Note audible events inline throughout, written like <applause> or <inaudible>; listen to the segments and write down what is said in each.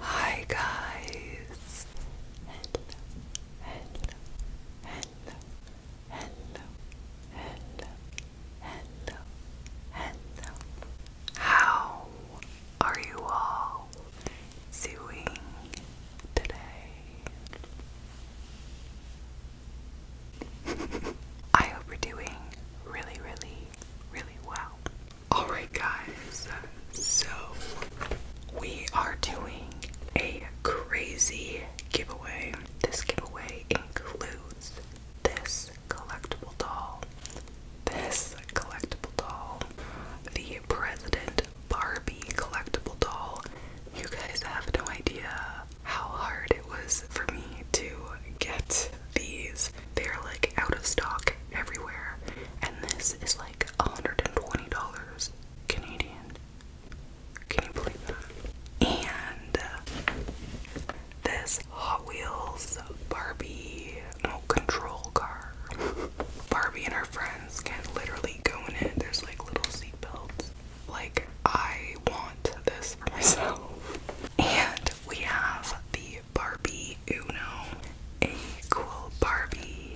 Hi guys. Hello. Hello. Hello. Hello. Hello. Hello. How are you all doing today? <laughs> I hope you're doing really, really really well. Alright, guys, so we are doing a crazy giveaway. This giveaway includes this collectible doll, this collectible doll, the President Barbie collectible doll. You guys have no idea how hard it was for me to get these. They're like out of stock everywhere, and this is like $120 Canadian. Can you believe that? And uh, this Hot Wheels Barbie control car. Barbie and her friends can literally go in it. There's like little seat belts. Like I want this myself. And we have the Barbie Uno, a cool Barbie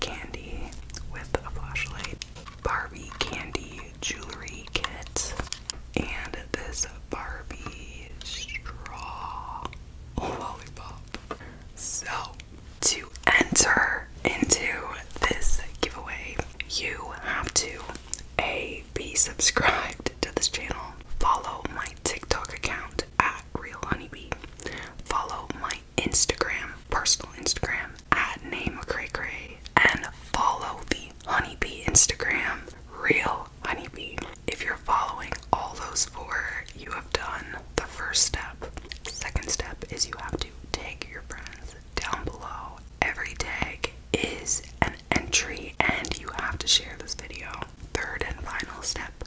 candy with a flashlight, Barbie candy jewelry kit, and this Barbie straw lollipop. So, to enter into this giveaway, you have to a. Be subscribed to this channel. Follow my TikTok account at Real Honeybee. Follow my Instagram, personal Instagram at Name of Cray and follow the Honeybee Instagram, Real Honeybee. If you're following all those four, you have done the first step. Second step is you have to take your friends down below. Every tag is an entry, and you have to share this video. Third and final step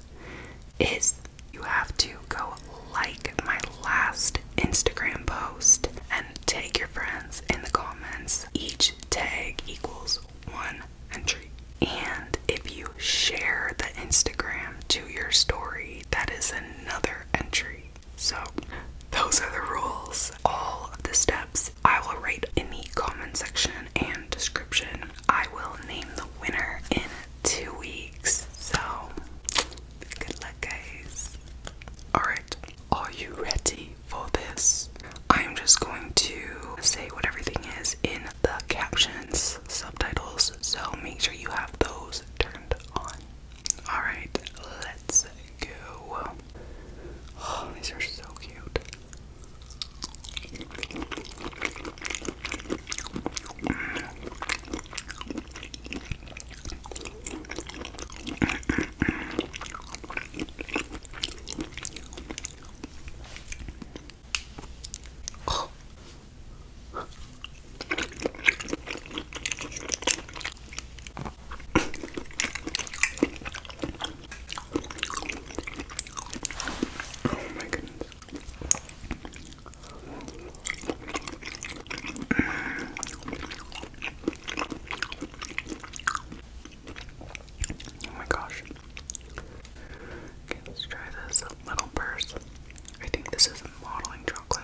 is you have to go like my last Instagram post and tag your friends in the comments. Each tag equals one entry. And if you share the Instagram to your story, that is another entry. So, those are the rules. All of the steps I will write in the comment section and description. I will name the winner in two weeks. So, good luck, guys. Alright, are you ready for this? I'm just going to say what everything is in the captions, subtitles, so make sure you have those turned on. Alright, let Let's go. Oh, these are so cute. Oh my goodness. Oh my gosh. Okay, let's try this little purse. I think this is modeling chocolate.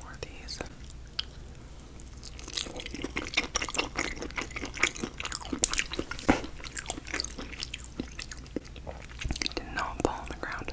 more of these. It did not fall on the ground.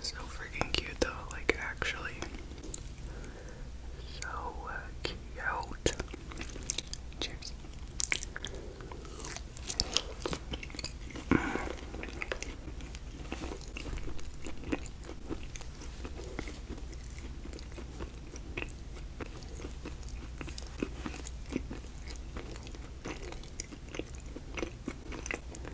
So freaking cute though, like actually. So uh, cute. Cheers.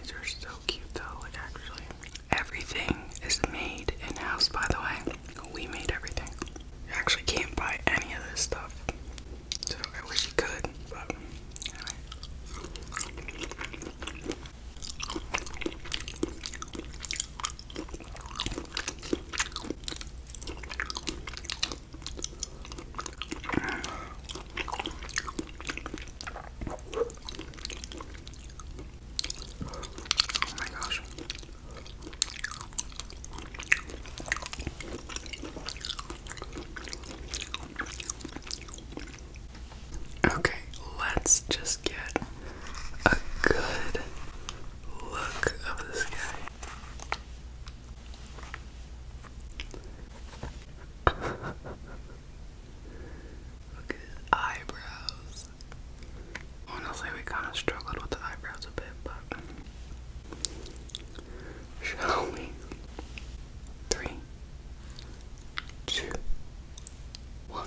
These are so cute though, like actually. Everything is made in house, by the way. We made everything. You actually can't buy any of this stuff. So I wish you could, but <sighs> oh my gosh. Okay, let's just get a good look of this guy. <laughs> look at his eyebrows. Honestly, we kind of struggled with the eyebrows a bit, but shall we? Three, two, one.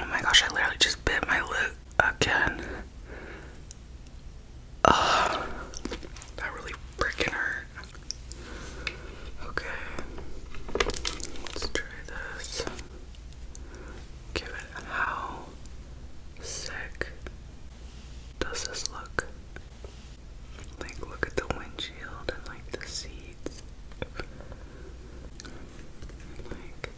Oh my gosh, I literally just bit my lip again. Uh, that really freaking hurt. Okay, let's try this. Give it how sick does this look? Like, look at the windshield and like the seats like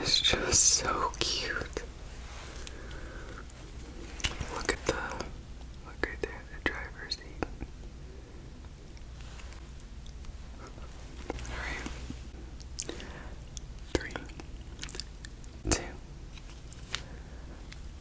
it's just so cute. Look at the look right the driver's seat. Alright. Three, two,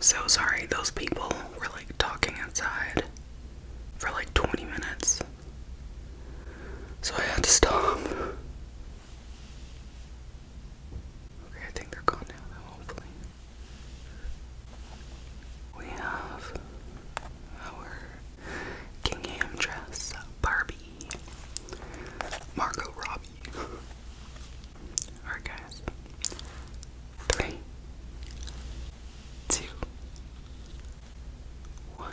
So sorry, those people were like talking outside for like 20 minutes. So I had to stop. Okay, I think they're gone now, hopefully. We have our Kingham dress Barbie. Margot Robbie. Alright, guys. Three, two, one.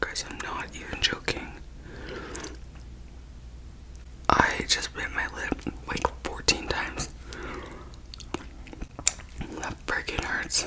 Guys, I'm not even joking. I just bit my lip like 14 times. That freaking hurts.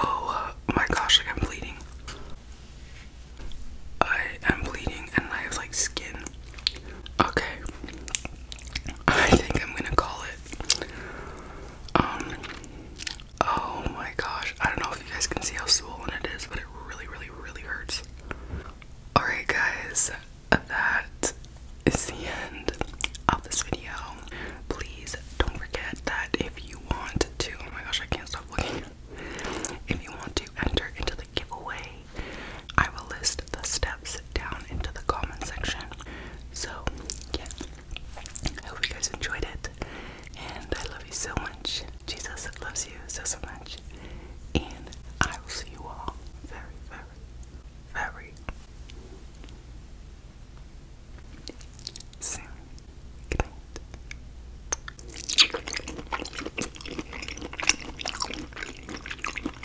Oh my gosh, like I'm bleeding. I am bleeding and I have like skin. Okay. I think I'm gonna call it. Um, oh my gosh. I don't know if you guys can see how swollen it is, but it really, really, really hurts. Alright, guys, that is the end of this video. Please don't forget that if you want to, oh my gosh, I can't stop looking. If you want to enter into the giveaway, I will list the steps down into the comment section. So, yeah, I hope you guys enjoyed it. And I love you so much. Jesus loves you so, so much. And I will see you all very, very, very soon. Good